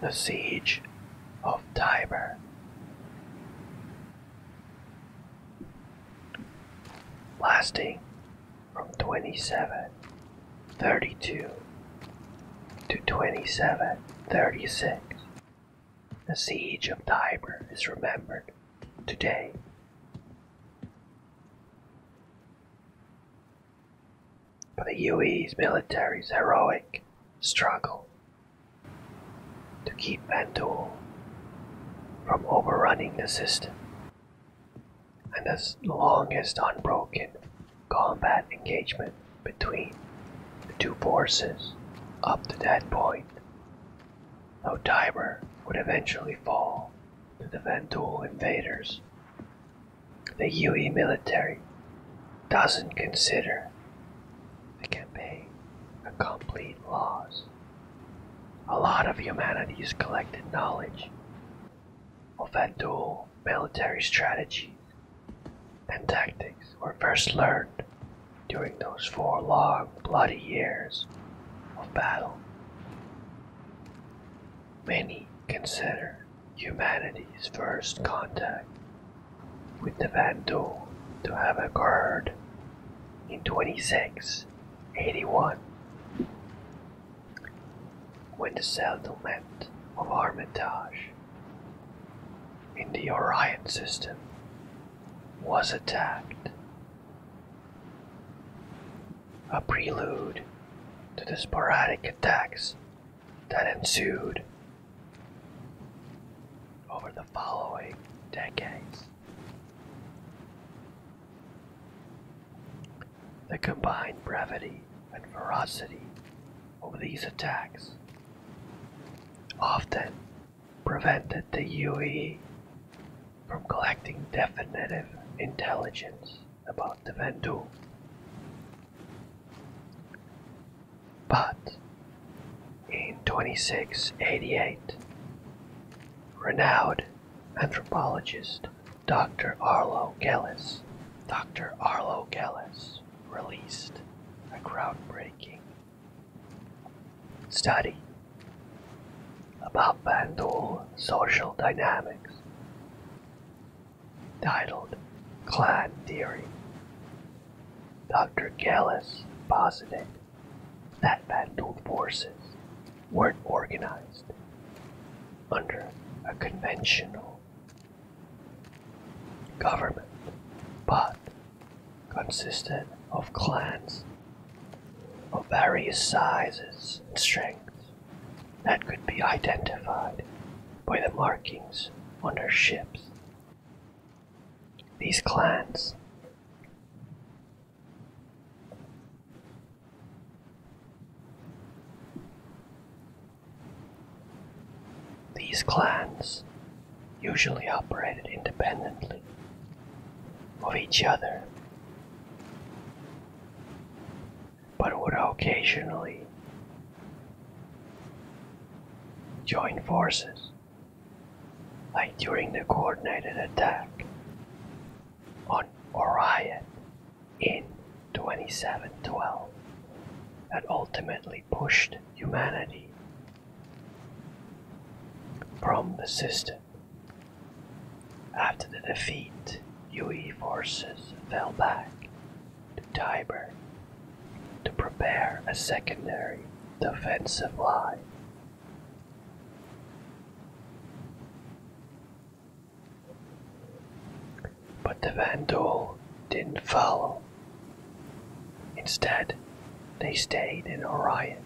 The Siege of Tiber. Lasting from 2732 to 2736, the Siege of Tiber is remembered today. But The UE's military's heroic struggle to keep Bandul from overrunning the system and the longest unbroken combat engagement between the two forces up to that point, though Tiber would eventually fall to the Vanduul invaders. The UE military doesn't consider the campaign a complete loss. A lot of humanity's collected knowledge of Vanduul military strategies and tactics were first learned during those four long, bloody years of battle. Many consider humanity's first contact with the Vandu to have occurred in 2681 when the settlement of Armitage in the Orion system was attacked a prelude to the sporadic attacks that ensued over the following decades. The combined brevity and ferocity of these attacks often prevented the UE from collecting definitive intelligence about the Vendu. But in 2688, renowned anthropologist Dr. Arlo Gellis, Dr. Arlo Gellis released a groundbreaking study about Bandol social dynamics, titled Clan Theory. Dr. Gellis posited that Bandul forces weren't organized under a conventional government, but consisted of clans of various sizes and strengths that could be identified by the markings on their ships. These clans These clans usually operated independently of each other, but would occasionally join forces, like during the coordinated attack on Orion in 2712 that ultimately pushed humanity from the system. After the defeat, UE forces fell back to Tiber to prepare a secondary defensive line. But the Vandal didn't follow. Instead, they stayed in Orion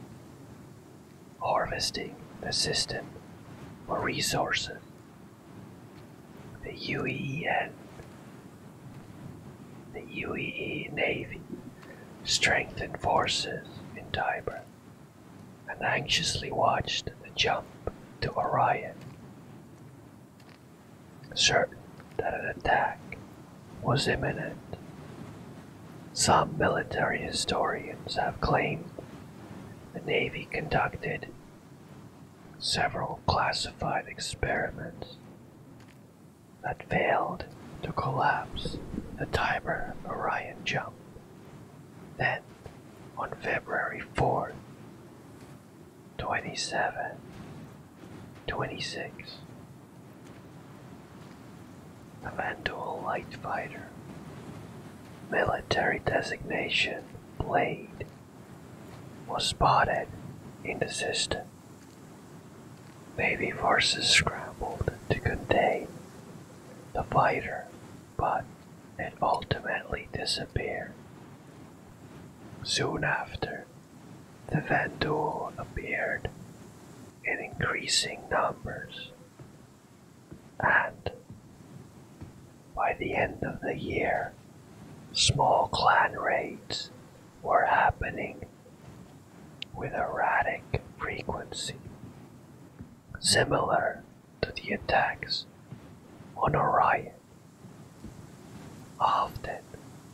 harvesting the system for resources. The UEN, the UEE Navy, strengthened forces in Tiber and anxiously watched the jump to Orion, certain that an attack was imminent. Some military historians have claimed the Navy conducted several classified experiments that failed to collapse the Tiber Orion jump. Then, on February 4th, 27, 26, Eventual Light Fighter. Military designation Blade was spotted in the system. Navy forces scrambled to contain the fighter, but it ultimately disappeared. Soon after, the Vanduul appeared in increasing numbers. And by the end of the year, small clan raids were happening with erratic frequency, similar to the attacks on Orion. Often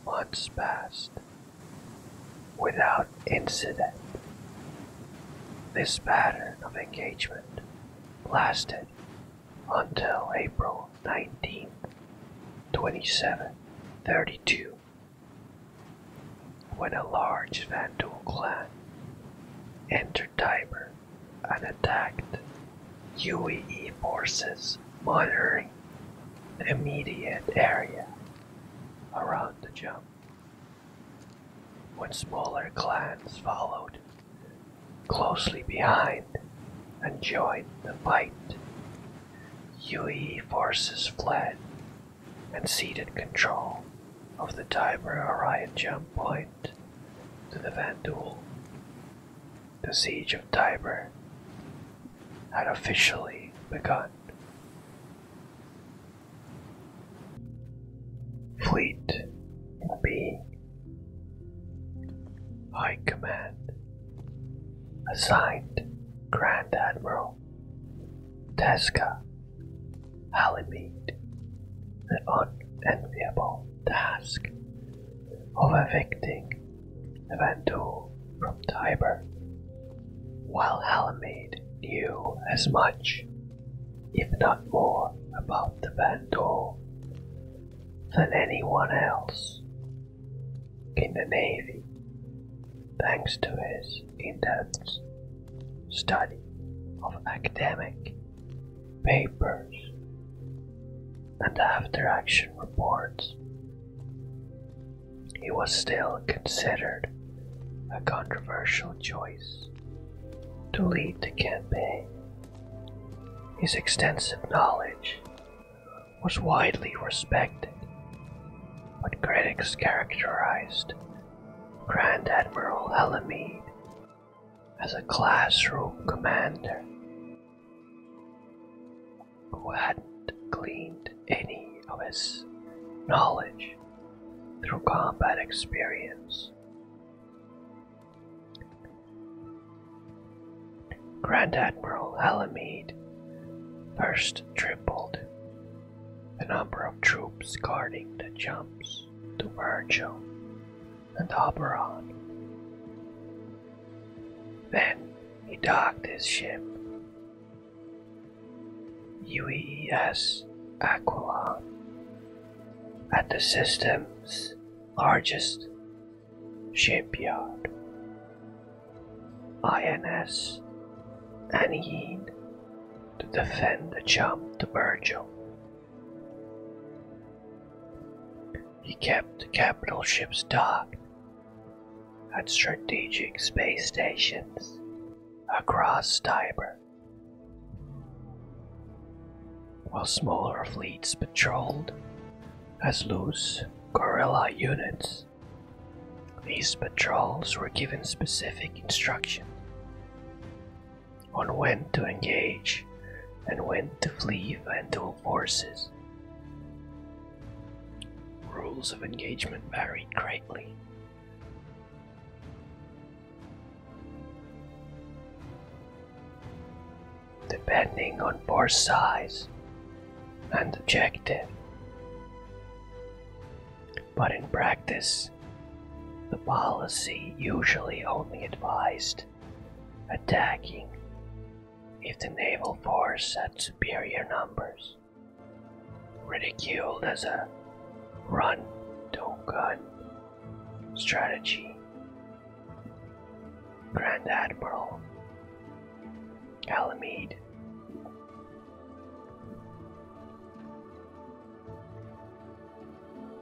months passed without incident. This pattern of engagement lasted until April 19, 2732, when a large Vandal clan entered Tiber and attacked UEE forces monitoring the immediate area around the jump. When smaller clans followed closely behind and joined the fight, Yue forces fled and ceded control of the Tiber Orion jump point to the Vanduul. The siege of Tiber had officially begun. Fleet in being. High Command. Assigned Grand Admiral Tezca Halimede. The unenviable task of evicting Evandu from Tiber, while Halimede knew as much, if not more, about the Vandal than anyone else in the Navy, thanks to his intense study of academic papers and after action reports. He was still considered a controversial choice to lead the campaign. His extensive knowledge was widely respected, but critics characterized Grand Admiral Alamede as a classroom commander who hadn't gleaned any of his knowledge through combat experience. Grand Admiral Alamede first tripled the number of troops guarding the jumps to Virgil and Oberon. Then he docked his ship UES Aquila at the system's largest shipyard. INS Aniyid to defend the jump to Virgil. He kept the capital ships docked at strategic space stations across Tyber, While smaller fleets patrolled as loose guerrilla units, these patrols were given specific instructions on when to engage and when to flee Vandal forces. Rules of engagement varied greatly. Depending on force size and objective. But in practice, the policy usually only advised attacking if the naval force had superior numbers. Ridiculed as a run, to not gun strategy. Grand Admiral Alamed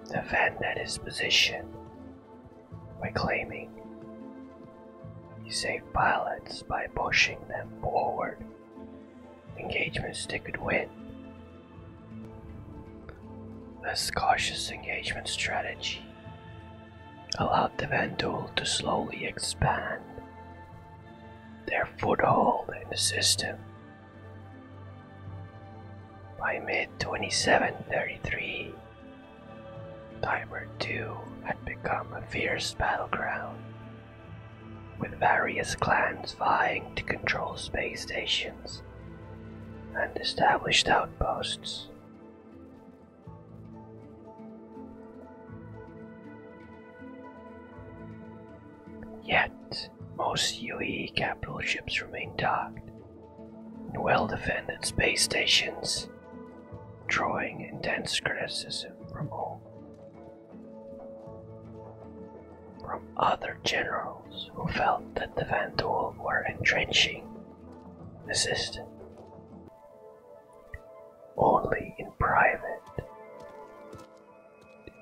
Defend at his position by claiming you save pilots by pushing them forward. Engagement they could win. This cautious engagement strategy allowed the Vanduul to slowly expand their foothold in the system. By mid 2733, Tiber 2 had become a fierce battleground, with various clans vying to control space stations and established outposts. Yet, most UE capital ships remained docked, in well defended space stations drawing intense criticism from all from other generals who felt that the Vanduul were entrenching the system only in private.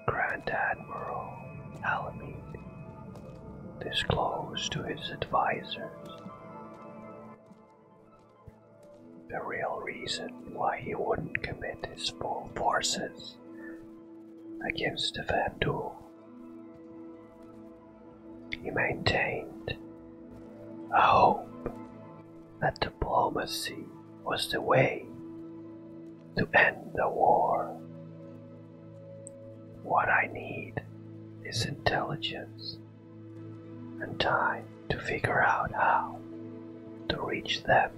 Grand Admiral Alamede disclosed to his advisors the real reason why he wouldn't commit his full forces against the Vanduul. He maintained a hope that diplomacy was the way to end the war. What I need is intelligence and time to figure out how to reach them.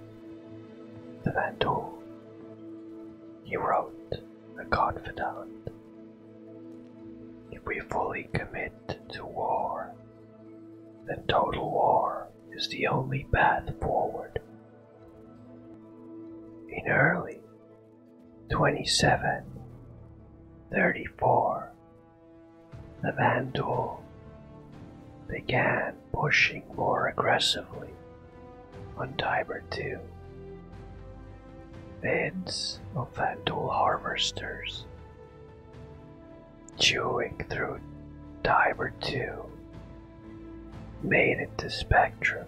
The Vandu, he wrote, the confidant. If we fully commit to war, then total war is the only path forward. In early 27, 34. The Vandal began pushing more aggressively on Tiber 2. Beds of Vandal harvesters chewing through Tiber 2 made it to Spectrum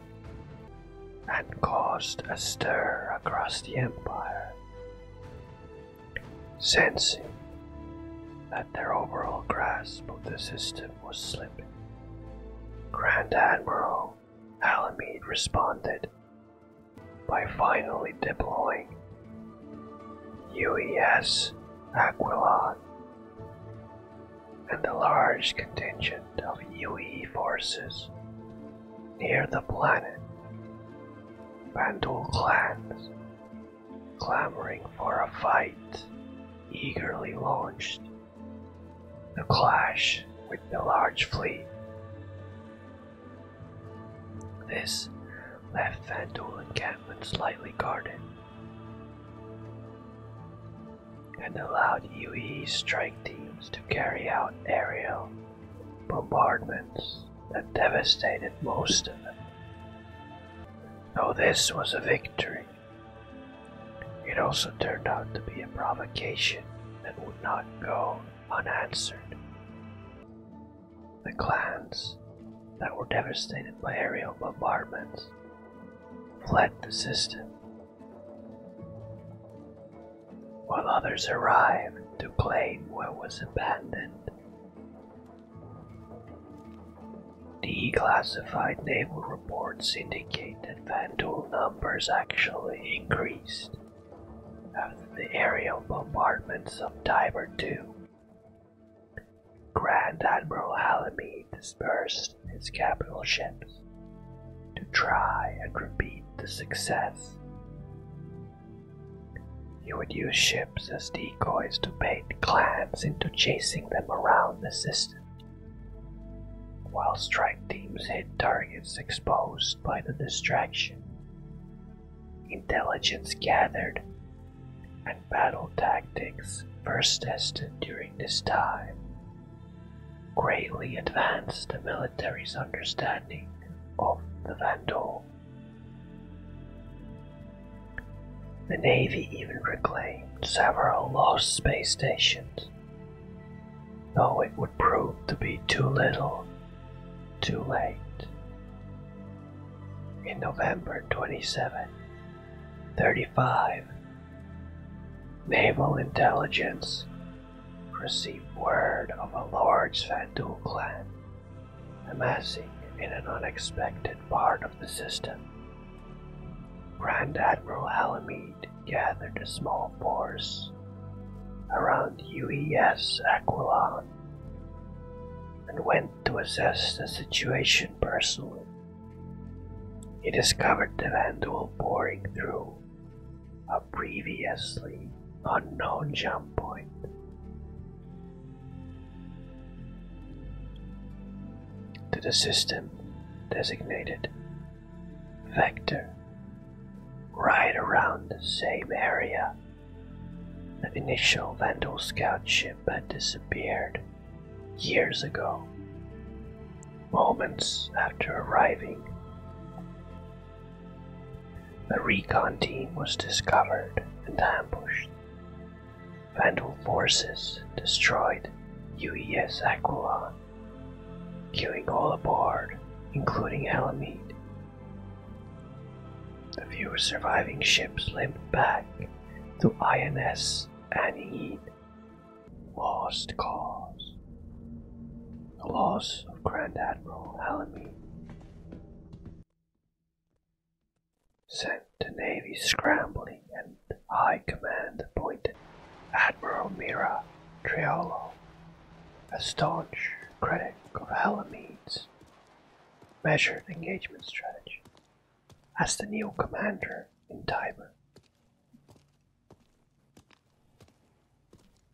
and caused a stir across the empire. Sensing that their overall grasp of the system was slipping, Grand Admiral Alamede responded by finally deploying UES Aquilon and the large contingent of UE forces near the planet. Bandul clans, clamoring for a fight, eagerly launched the clash with the large fleet. This left Vandul encampments lightly guarded and allowed UE strike teams to carry out aerial bombardments that devastated most of them. Though this was a victory, it also turned out to be a provocation that would not go unanswered. The clans that were devastated by aerial bombardments fled the system while others arrived to claim what was abandoned. Declassified naval reports indicate that Vanduul numbers actually increased after the aerial bombardment of Tiber two. Grand Admiral Alamy dispersed his capital ships to try and repeat the success. you would use ships as decoys to bait clans into chasing them around the system, while strike teams hit targets exposed by the distraction. Intelligence gathered and battle tactics first tested during this time greatly advanced the military's understanding of the Vandal. The Navy even reclaimed several lost space stations, though it would prove to be too little, too late. In November 27, 35, Naval intelligence received word of a large Fandul clan amassing in an unexpected part of the system. Grand Admiral Alamede gathered a small force around UES Aquilon and went to assess the situation personally. He discovered the Vandal pouring through a previously unknown jump point. To the system designated Vector, right around the same area. The initial Vandal scout ship had disappeared years ago, Moments after arriving, the recon team was discovered and ambushed. Vandal forces destroyed UES Aquilon, killing all aboard, including Alamede. The few surviving ships limped back to INS Annihied Lost cause. The loss of Grand Admiral Alamy sent the Navy scrambling and High Command appointed Admiral Mira Triolo, a staunch critic of Alamede's measured engagement strategy, as the new commander in Tiber.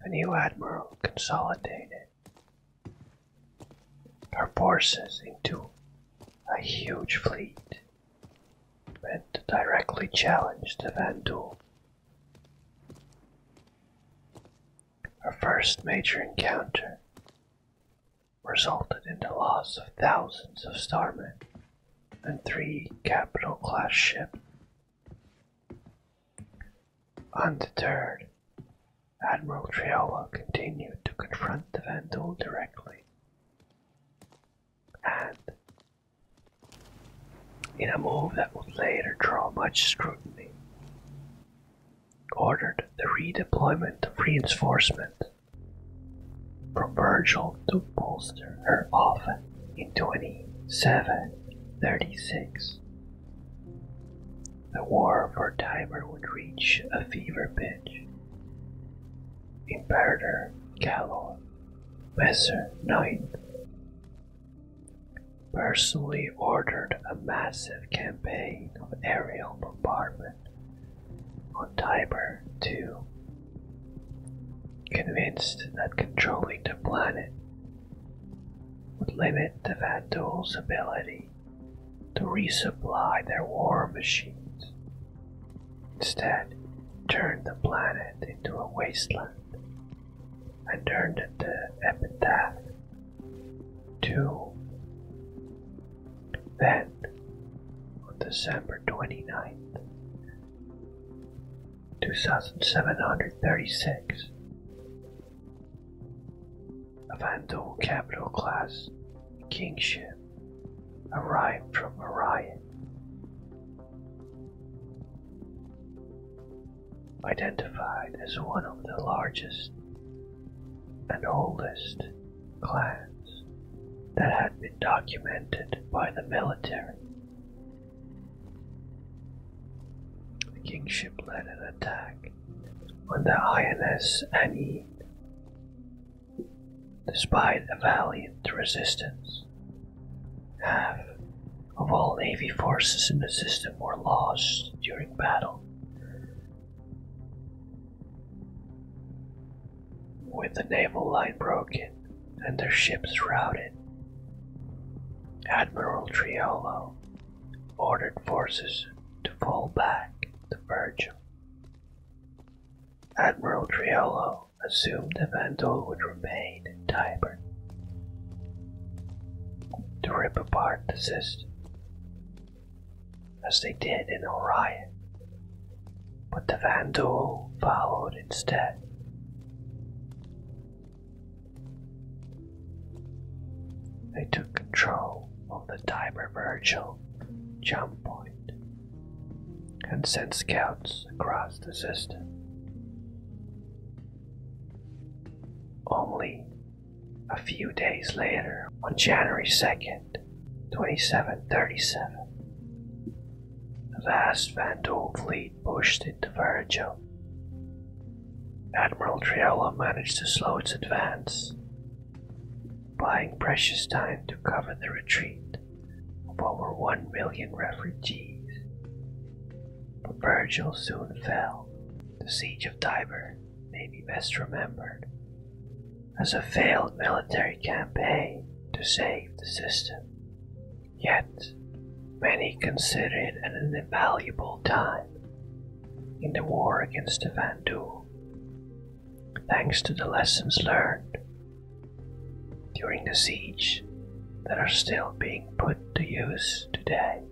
The new admiral consolidated her forces into a huge fleet and directly challenged the Vanduul. Her first major encounter resulted in the loss of thousands of starmen and three capital class ships. Undeterred, Admiral Triola continued to confront the Vandal directly, and in a move that would later draw much scrutiny, ordered the redeployment of reinforcements from Virgil to bolster her offense in 2736. The war for Tiber would reach a fever pitch. Imperator Gallo Messer IX, personally ordered a massive campaign of aerial bombardment on Tiber II, convinced that controlling the planet would limit the Vandals' ability to resupply their war machines. Instead, turned the planet into a wasteland and turned it the epitaph 2. Then, event on December 29th, 2736. A Vandal capital class kingship arrived from Orion. Identified as one of the largest and oldest clans that had been documented by the military. The kingship led an attack on the INS Anine. Despite a valiant resistance, half of all Navy forces in the system were lost during battle. With the naval line broken and their ships routed, Admiral Triolo ordered forces to fall back to Virgil. Admiral Triolo assumed the Vandal would remain in Tiber to rip apart the system as they did in Orion, but the Vandal followed instead. They took control of the Diver diververgil jump point and sent scouts across the system. Only a few days later, on January 2nd, and 2737. The vast Vandal fleet pushed into Virgil. Admiral Triola managed to slow its advance, buying precious time to cover the retreat of over one million refugees. But Virgil soon fell. The siege of Tiber may be best remembered as a failed military campaign to save the system. Yet, many consider it an invaluable time in the war against the Vandu. Thanks to the lessons learned during the siege that are still being put to use today.